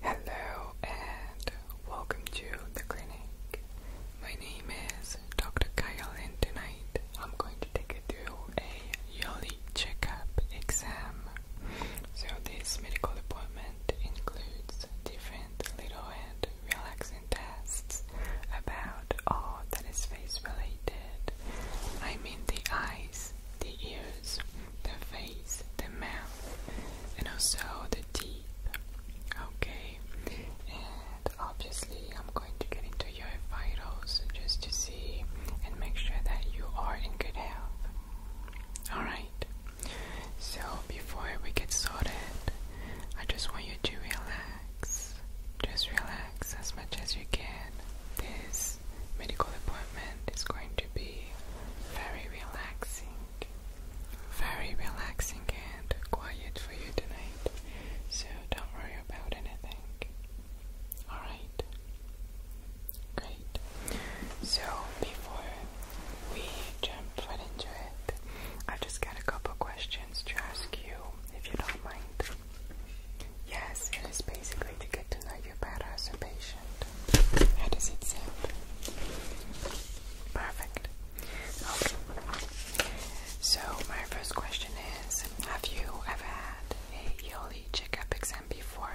Hello and welcome to the clinic. My name is Dr. Kyle and tonight I'm going to take you through a yearly checkup exam. So this medical appointment includes different little and relaxing tests about all that is face related. I mean the eyes, the ears, the face, the mouth, and also the teeth. Okay, and obviously, I'm going to get into your vitals just to see and make sure that you are in good health. Alright, so before we get started, I just want you to relax. Just relax as much as you can. This medical appointment is going to be very relaxing, very relaxing and quiet for you tonight. So don't worry about anything. Alright? Great. So before we jump right into it, i just got a couple questions to ask you if you don't mind. Yes, it is basically to get to know you better as a patient. How does it sound? Perfect. Okay. So my first question is, have you ever had a yearly checkup exam before?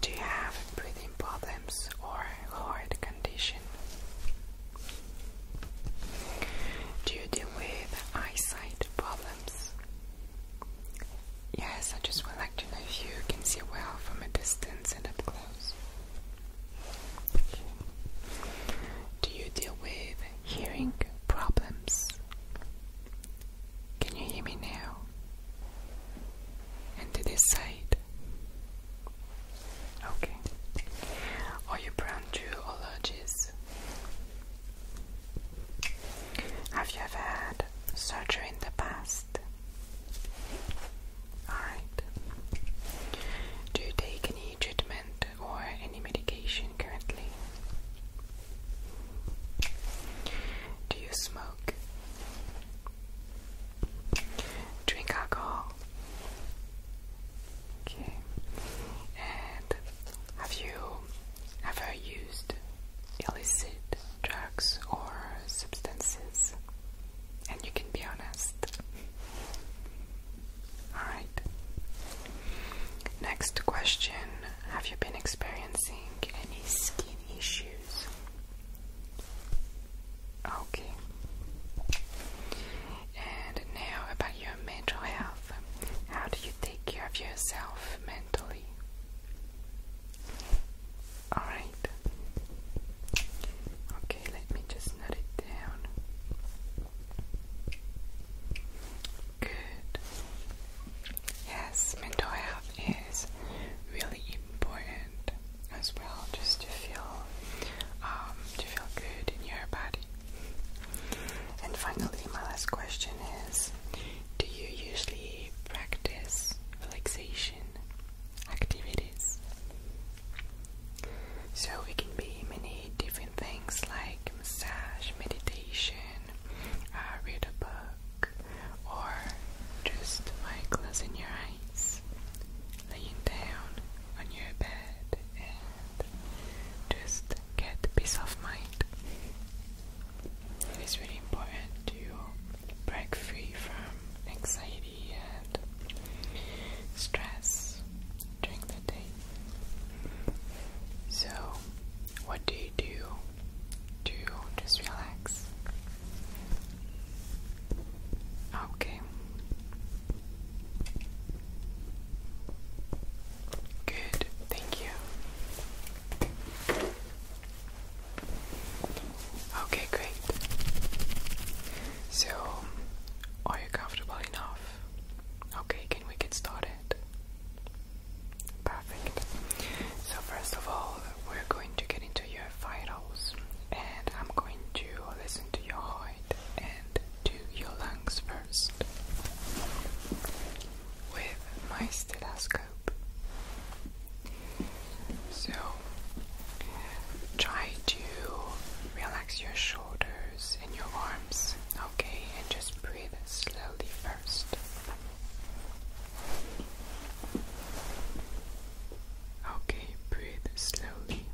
Do you have breathing problems or heart condition? Do you deal with eyesight problems? Yes, I just would like to know if you can see well from a distance and up close. Do you deal with hearing problems? Can you hear me now? And to this side? Okay. Are you prone to allergies? Have you ever had surgery in the past? Alright. Do you take any treatment or any medication currently? Do you smoke? Drink alcohol? Okay. And have you have you used illicit drugs or substances? And you can be honest. Alright. Next question Have you been experiencing any skin issues? Okay. And now about mental health? How do you take care of yourself mentally? Alright. Okay, let me just note it down. Good. Yes, mental health is really important as well, just to feel um to feel good in your body. And finally, my last question is Do you usually practice relaxation activities? So it can be many different things like massage, meditation, I uh, read a book, or just by closing your eyes, laying down on your bed just get peace of mind. It is really important to break free from anxiety and stress during the day. So, what do you do to just relax? Okay. Good, thank you. Okay, great. So, are you comfortable enough? Okay, can we get started? Perfect. So, first of all, we're going to get into your vitals, and I'm going to listen to your heart and to your lungs first with my stethoscope. So try to relax your shoulders and your arms, okay, and just breathe slowly first. Okay, breathe slowly.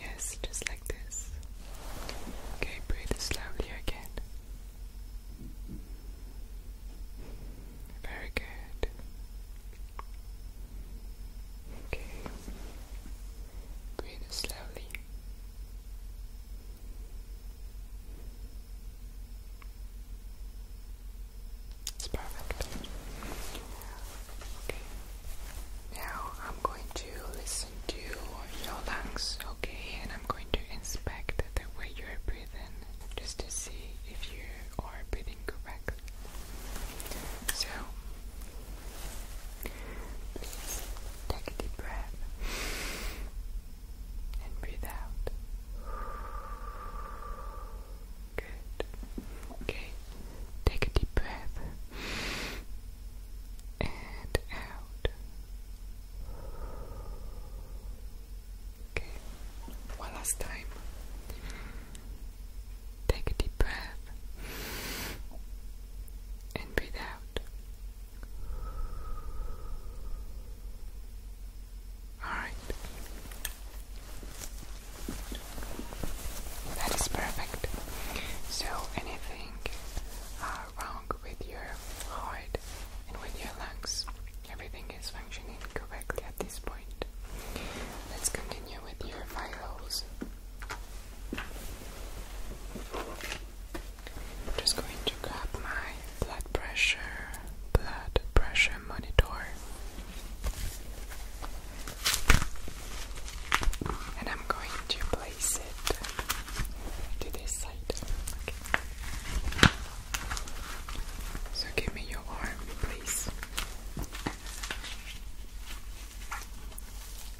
Yes, just like this. Okay, breathe slowly again. Very good. Okay, breathe slowly. It's perfect. Okay. Now I'm going to listen to your lungs, okay? And I'm going to inspect the way you're breathing just to see if you are breathing correctly. So, please take a deep breath and breathe out. Good. Okay, take a deep breath and out. Okay, one last time. Take a deep breath and breathe out. All right. That is perfect. So, anything uh, wrong with your heart and with your lungs? Everything is functioning correctly at this point. Let's continue with your vitals. I'm just going to grab my blood pressure, blood pressure monitor and I'm going to place it to this side. So give me your arm, please.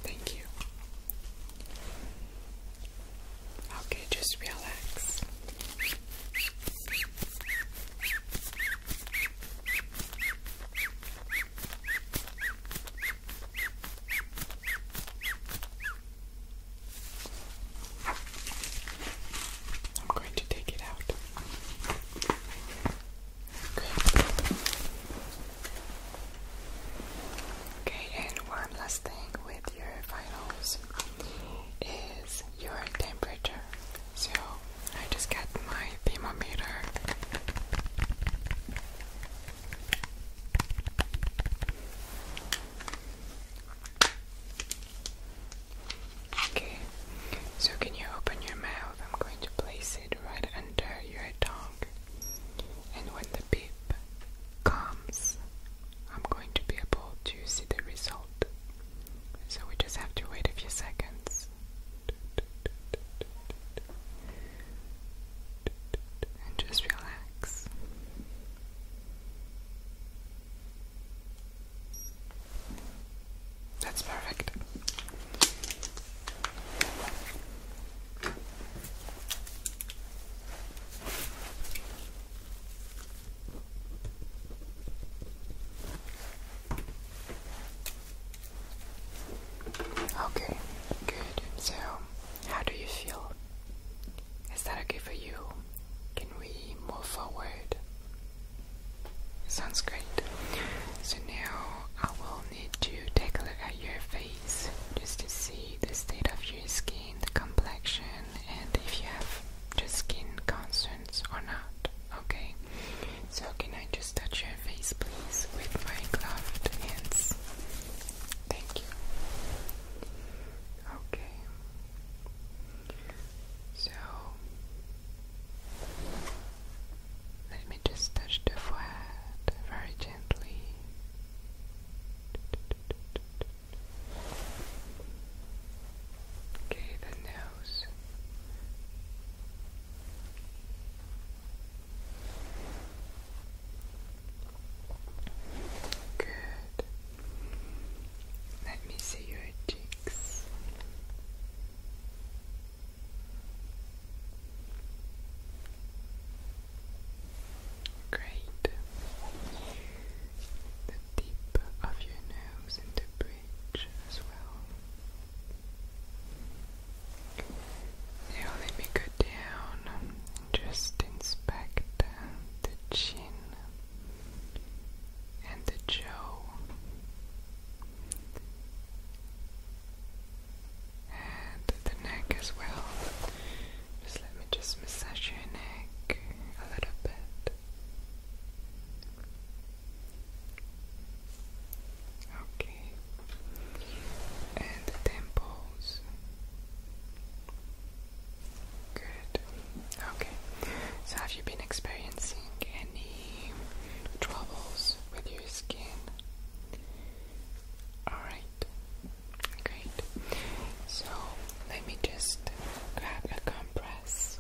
Thank you. Okay, just relax. I'm going to take it out. Okay, and one last thing with your finals is your temperature. So I just got my thermometer. Okay, so can you open your mouth? I'm going to place it right under your tongue. And when the beep comes, I'm going to be able to see the result. So we just have to wait a few seconds. And just relax. That's perfect. Okay, good. So, how do you feel? Is that okay for you? Can we move forward? Sounds great. So now I will need to take a look at your face just to see the state of your skin, the complexion, and if you have just skin concerns or not. Okay. So can I just touch your face, please, with my gloved hands? Thank you. Okay. So let me just touch the forehead very gently. Okay, the nose. Good. Let me see your cheeks. Great. The tip of your nose and the bridge as well. Now let me go down and just inspect uh, the chin and the jaw and the neck as well. Just let me just massage your neck a little bit. Okay. And the temples. Good. Okay. So have you been experiencing any troubles with your skin? Alright. Great. So let me just grab a compress.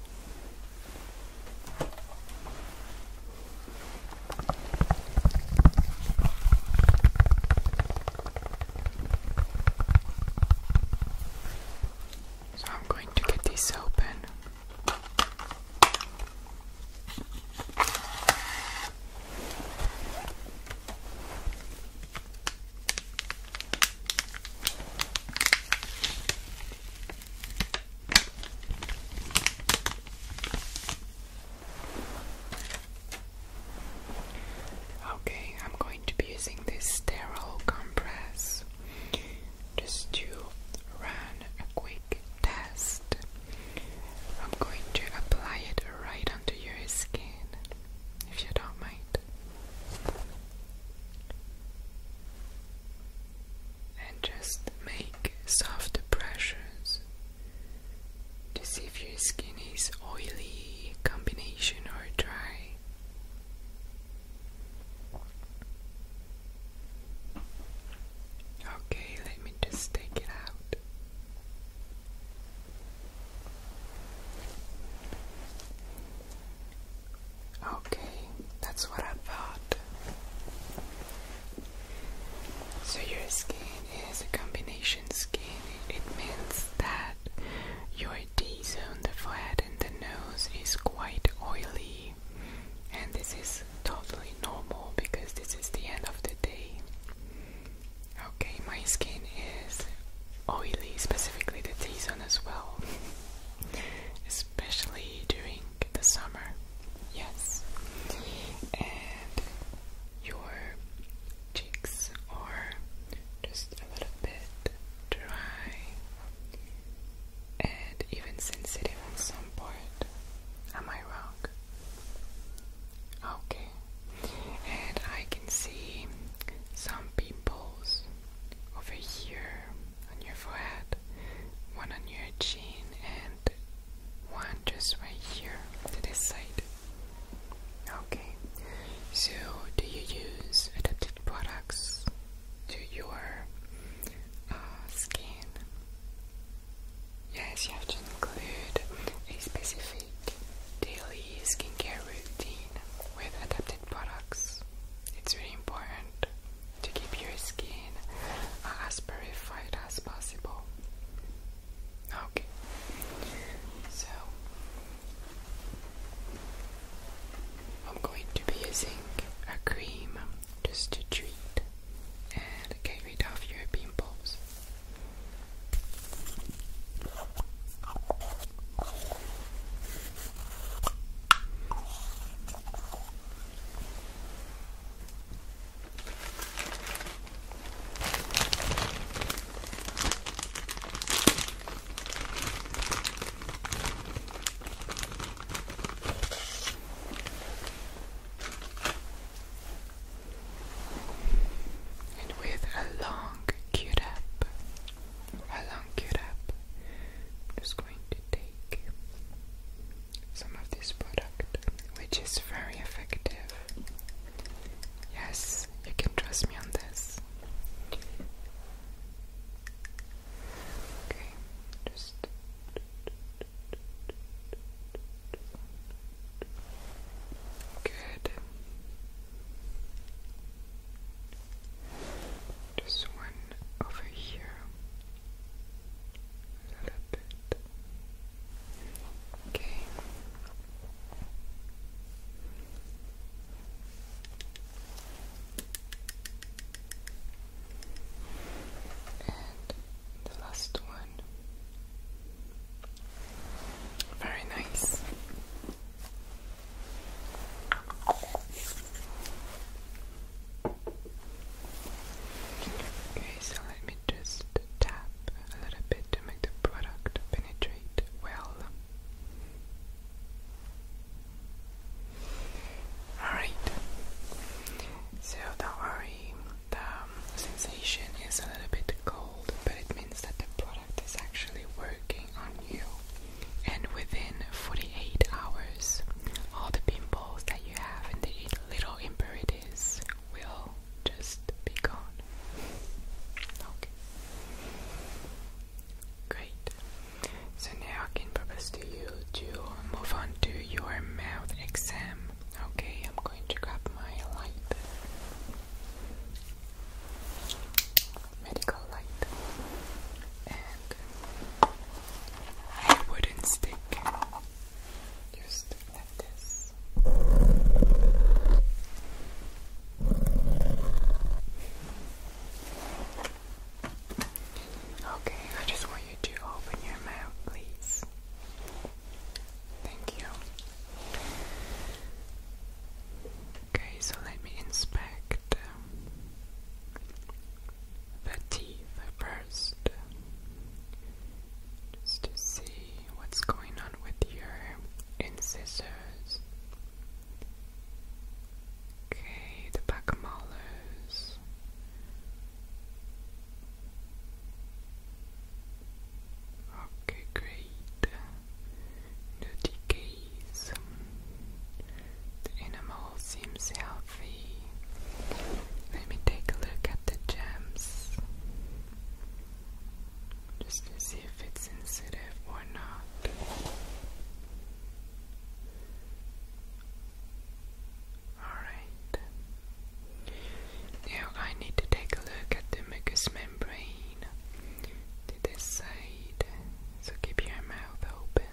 So I'm going to get these open. Okay, I'm going to be using this sterile compress just to run a quick test. I'm going to apply it right onto your skin if you don't mind and just make soft pressures to see if your skin is oily, combination, or dry. Okay, let me just take it out. Okay, that's what I thought. So your skin is a combination skin. It means that your D-zone, the forehead and the nose is quite oily. And this is totally normal because this is the end of the day. Okay, my skin is oily, specifically the T-zone as well especially during the summer. Yes. And your cheeks are just a little bit dry and even sensitive on some part. Am I wrong? Okay. And I can see some pimples over here on your forehead, one on your chin, and one just right here to this side. Okay, so do you use adapted products to your uh, skin? Yes, you have to include a specific daily skincare routine with adapted products. It's really important to keep your skin as purified as possible. Okay, so I'm going to be using a cream just to treat and get rid of your pimples. And with a long Q-tip, a long Q-tip, I'm just going to take some of this product, which is very effective. Yes, you can trust me on this. Okay, just. Good. Just one over here a little bit. Okay. And the last one. Very nice. Okay. Okay, so let me just tap a little bit to make the product penetrate well. Alright, so don't worry, the um, sensation is a little bit cold, but it means that the product is actually working on you. And within 48 hours, all the pimples that you have and the little impurities will just be gone. Okay. Great. So now I can propose to you to move on to your mouth exam. Okay, I'm going to grab my light. Medical light wooden stick just like this. Okay, I just want you to open your mouth, please. Thank you. Okay, so let me inspect the teeth first, just to see what's going on with your incisors. Okay, the back molars. Okay, great. The decays. The animal seems healthy. Let me take a look at the gems just to see if it's sensitive or not. Alright. Now I need to take a look at the mucous membrane to this side. So keep your mouth open.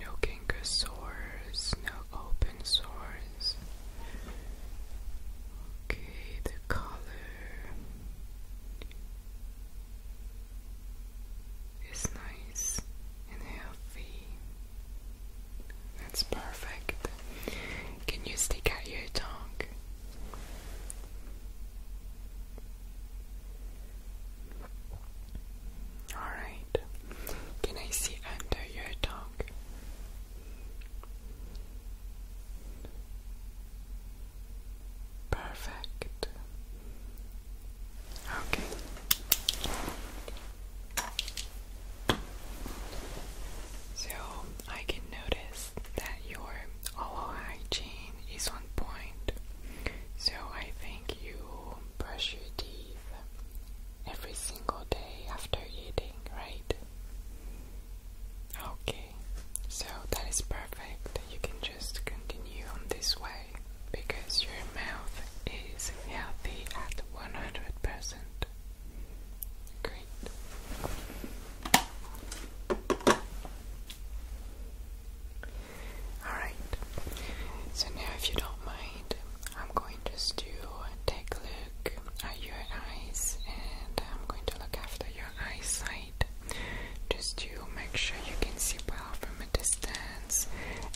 No kinkosaurs, no open sores. Okay, the color is nice and healthy. That's perfect. Can you stick out your tongue? Alright. Can I see under your tongue? Perfect. Okay. So I can notice that your oral hygiene is on point. So I think you brush your teeth every single day after eating, right? Okay, so that is perfect. You can just continue on this way because your mouth is healthy at 100%. Great. Alright, so now if you don't mind, I'm going to just do to take a look at your eyes and I'm going to look after your eyesight just to make sure you can see well from a distance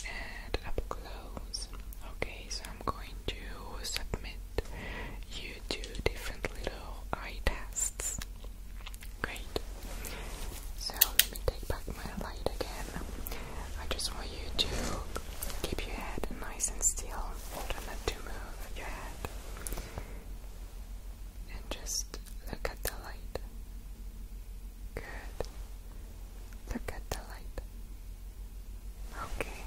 and up close. Okay, so I'm going to submit you to different little eye tests. Great. So let me take back my light again. I just want you to keep your head nice and still. not to move your head. And just look at the light. Good. Look at the light. Okay.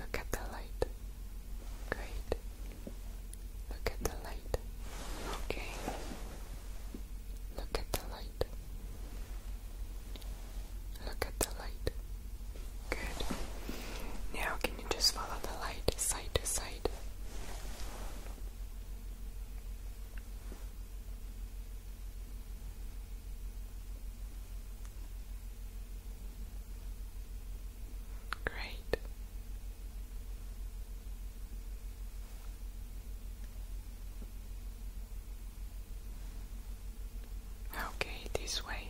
Look at the light. Great. Look at the light. Okay. Look at the light. Look at the light. Good. Now, can you just follow the light side to side? Great. Okay, this way.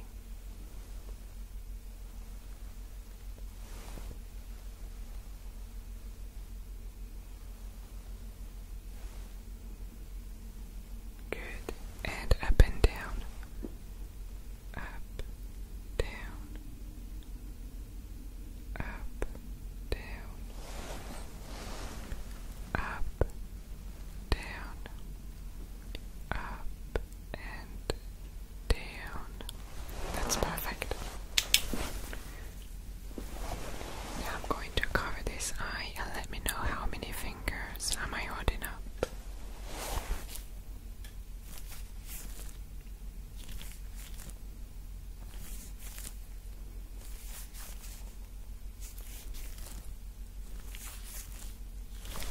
Good, and up and down up, down, up, down, up, down, up, and down. That's perfect. I'm going to cover this eye let me know how many fingers am I holding up.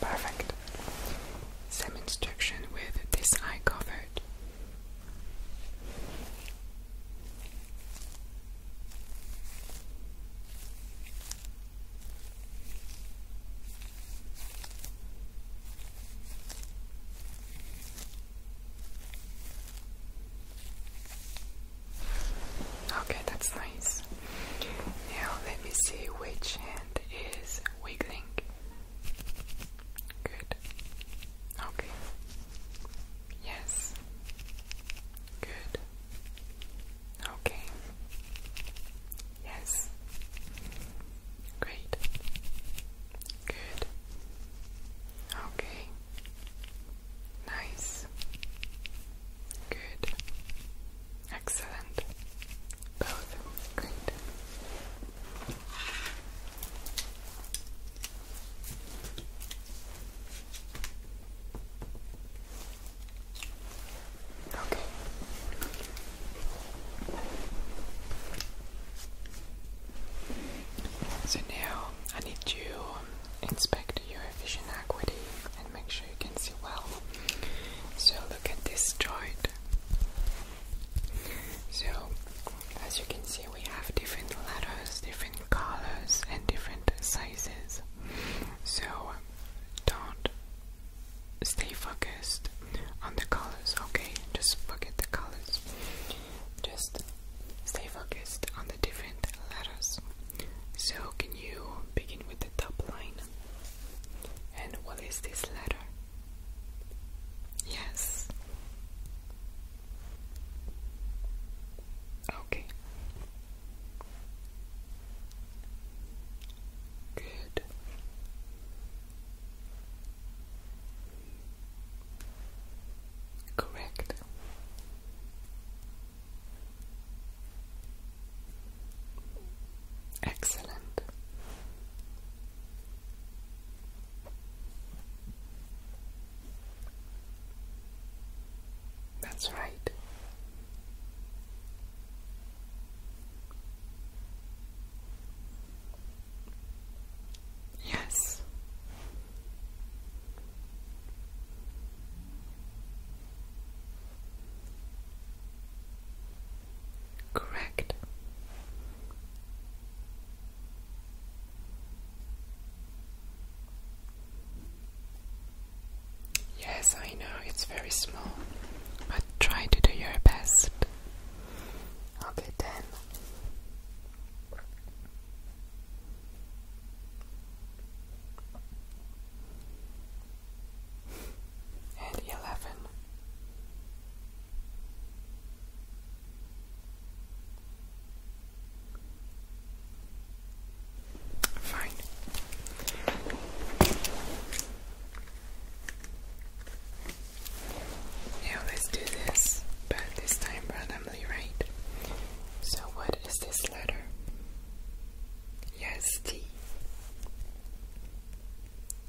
Perfect. Same instruction with this eye covered. Okay, that's nice. Now let me see which hand is wiggling. Good. Okay. Yes. Good. Okay. Yes. Great. Good. Okay. Nice. Good. Excellent. Both. Great. Okay. So now I need to inspect your vision acuity and make sure you can see well. So look at this chart. So as you can see we have different letters, different colors and different sizes. So don't stay focused on the colors, okay? Just forget the colors. Just stay focused on the different letters. So, can you begin with the top line? And what is this letter? Yes. Okay. Good. Correct. Excellent. That's right. Yes. Correct. Yes, I know it's very small, but try to do your best. Okay, then. And eleven. Fine. Now let's do this, but this time randomly, right? So, what is this letter? Yes, T.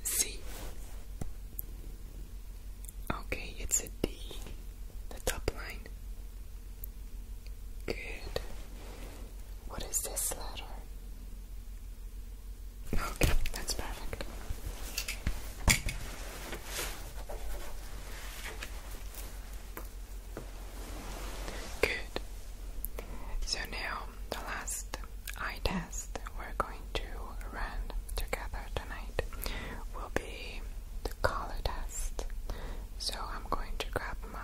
C. Okay, it's a D, the top line. Good. What is this letter? Okay, that's perfect. Good. So now the last eye test we're going to run together tonight will be the color test. So I'm going to grab my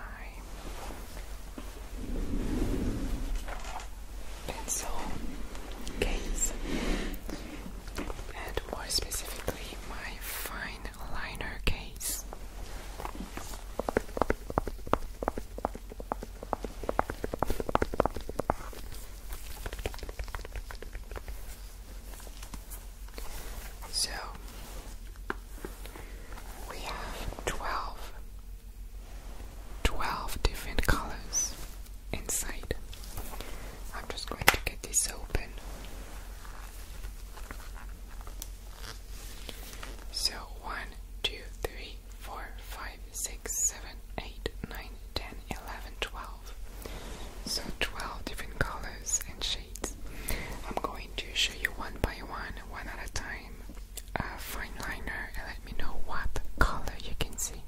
pencil case, and more specifically, my fine liner case. So we have twelve 12 different colors inside. I'm just going to get this open. So 1, So 12 different colors and shades. I'm going to show you one by one, one at a time a fine liner and let me know what color you can see.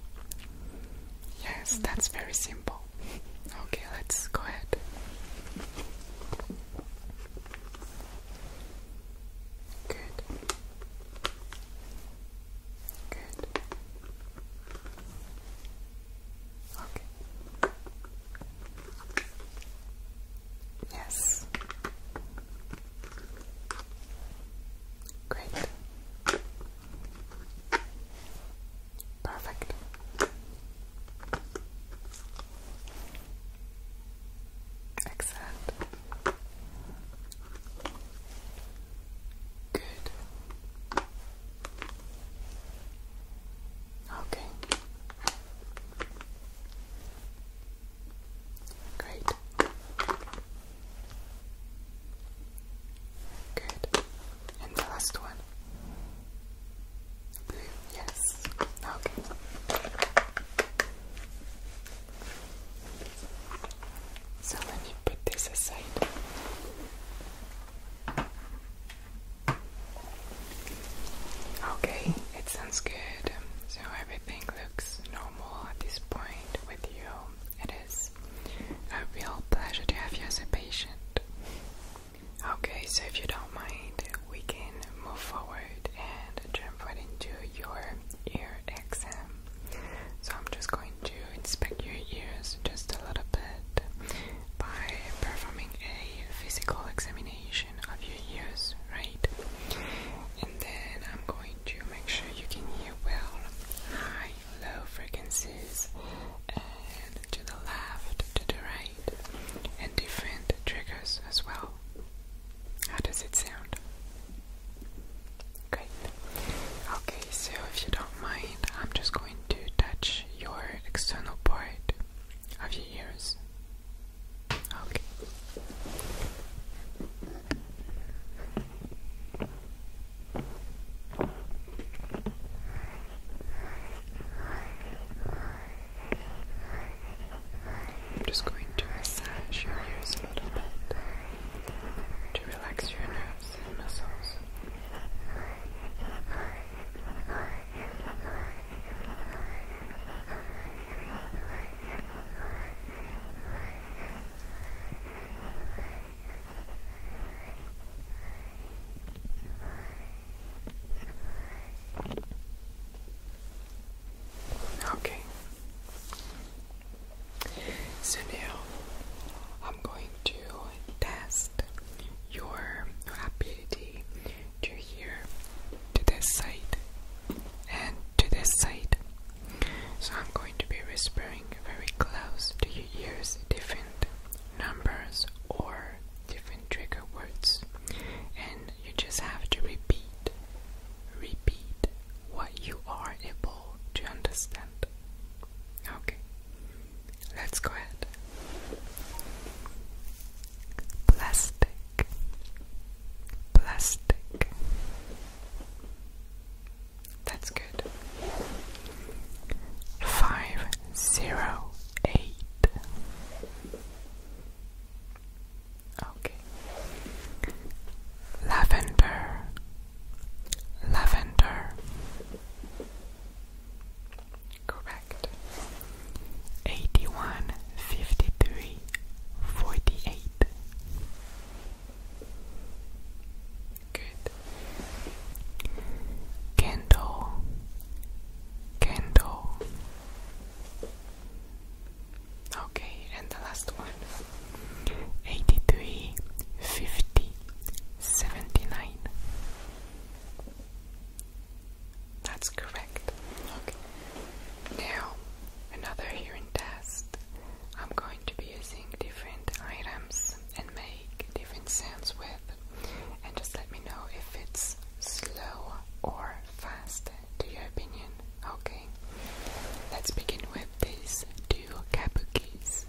Yes, mm-hmm. that's very simple. Okay, let's go ahead. Good. Good. Okay. Yes. Great. Perfect. Excellent. Good. Okay. Great. Good. And the last one. yes. Okay. So let me put this aside. Okay, it sounds good. So everything looks normal normal at this point with you. It is a real pleasure to have you as a patient. Okay, so if you don't mind, we can move forward and jump right into your ear exam. So I'm just going to inspect your ears just a little bit by performing a physical examination of your ears, right? And then I'm going to make sure you can hear well high, low frequencies, and to the left, to the right, and different triggers as well. How does it sound? Great. Okay, so if you don't mind, I'm just going to touch your external part of your ears. Okay. I'm just going to massage your ears a little bit to relax your nerves and muscles. Okay. So I'm going to test your ability to hear to this side and to this side. So I'm going to be whispering very close to your ears different numbers or different trigger words, and you just have to repeat, repeat what you are able to understand. Okay, let's go ahead plastic, plastic. That's good. Five zero eight. Okay. Lavender, lavender. Correct. Eighty one fifty three. Only forty eight. Good. Candle, candle. Okay, and the last one. Eighty three, fifty, seventy nine. That's correct. Okay. Now, another hearing test. I'm going to be using different items and make different sounds with. And just let me know if it's slow or fast to your opinion. Okay. Let's begin with these two kabukis.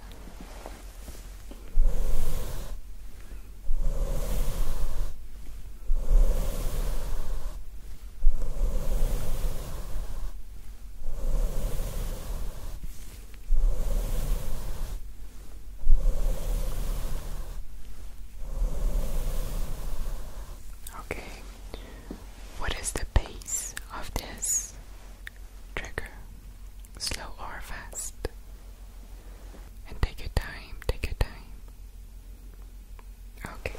Okay, what is the pace of this trigger? Slow or fast? And take your time, take your time. Okay.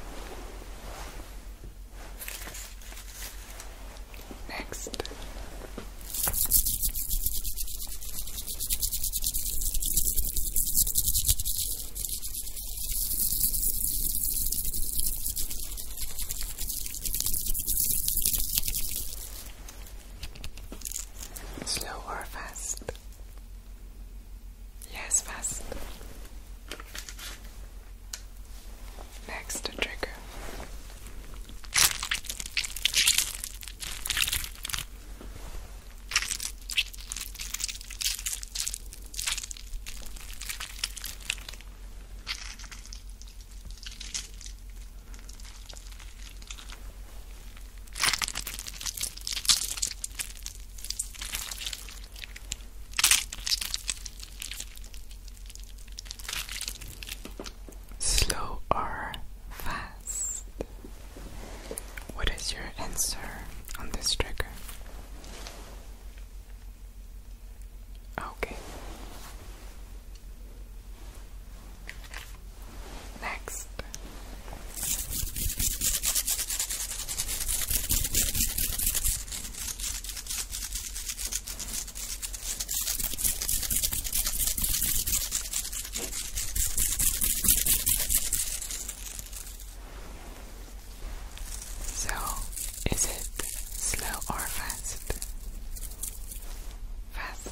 Next. Slow or fast? Yes, ist was. Trigger. Slow or fast? What is your answer on this trigger? Okay. Next, so, is it slow or fast? Fast.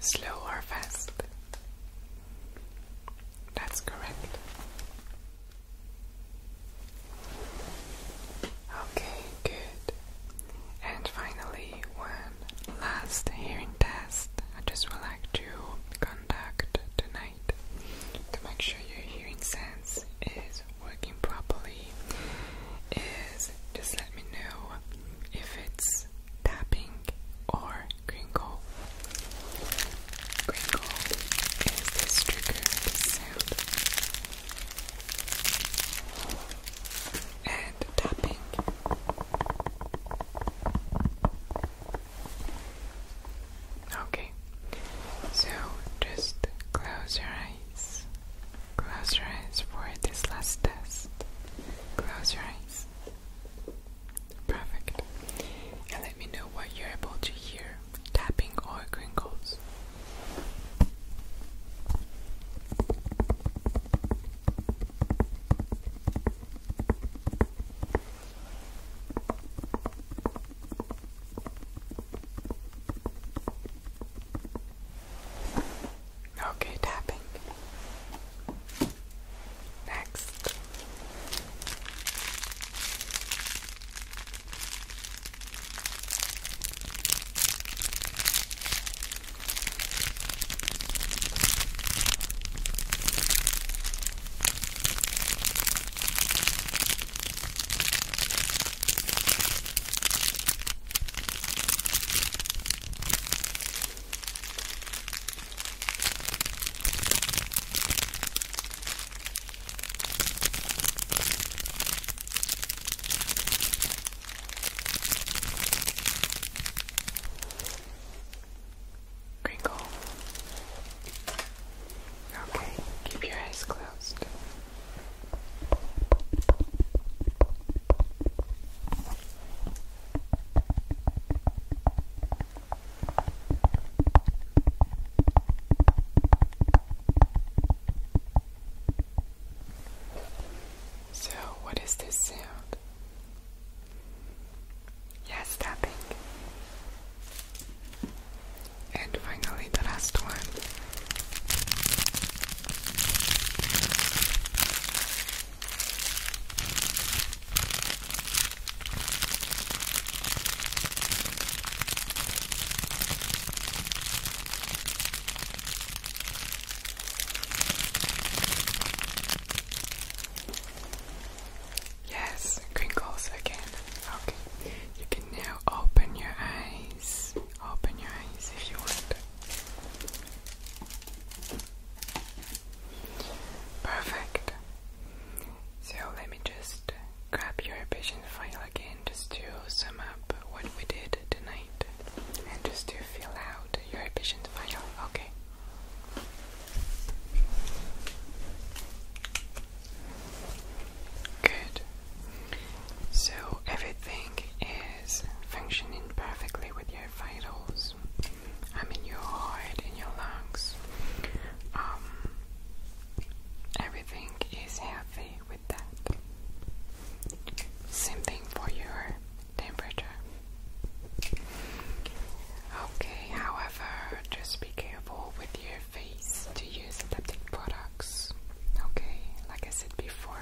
Slow or fast? That's correct. Okay, good. And finally, one last hearing test I just would like to conduct tonight to make sure your hearing sense is is working properly is just let me know if it's tapping or crinkle. Crinkle is this trigger sound. And tapping. Okay. So just close your eyes. Close your eyes for this last test. Close your eyes. Perfect. And let me know what you're able to hear tapping or crinkles. Okay, tapping. Next. Crinkle. Okay, keep your eyes closed. So, what is this sound? Yes, tapping. And finally, the last one. Yes, crinkles again. Okay, now open your eyes. Open your eyes if you want. Perfect. So let me just grab your patient file again just to sum up what we did tonight and just to fill out your patient file. Okay. Good. So everything is functioning perfectly with your vitals. I mean your heart and your lungs. Um, everything is healthy with that. Same thing for your temperature. Okay, however, just be careful with your face to use adapted products. Okay, like I said before,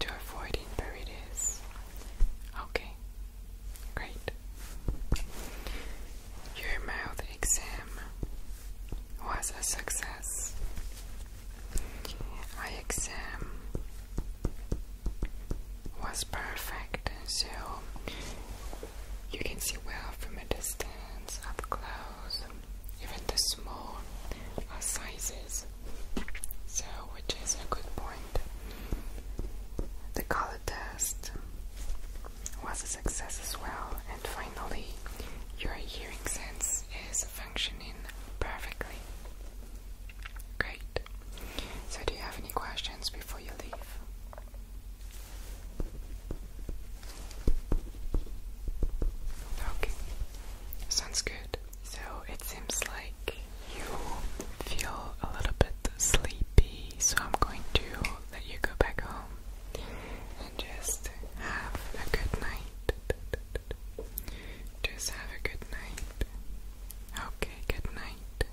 to avoid impurities. Okay, great. Your mouth exam was a success. Eye exam was perfect, so you can see well from a distance, up close even the small uh, sizes. So, which is a good point. The color test was a success as well, and finally, your hearing sense is functioning perfectly. Great. So, do you have any questions before you leave? Okay, sounds good. So it seems like you feel a little bit sleepy, so I'm going to let you go back home and just have a good night. Just have a good night. Okay, good night,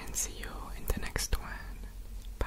and see you in the next one. Bye.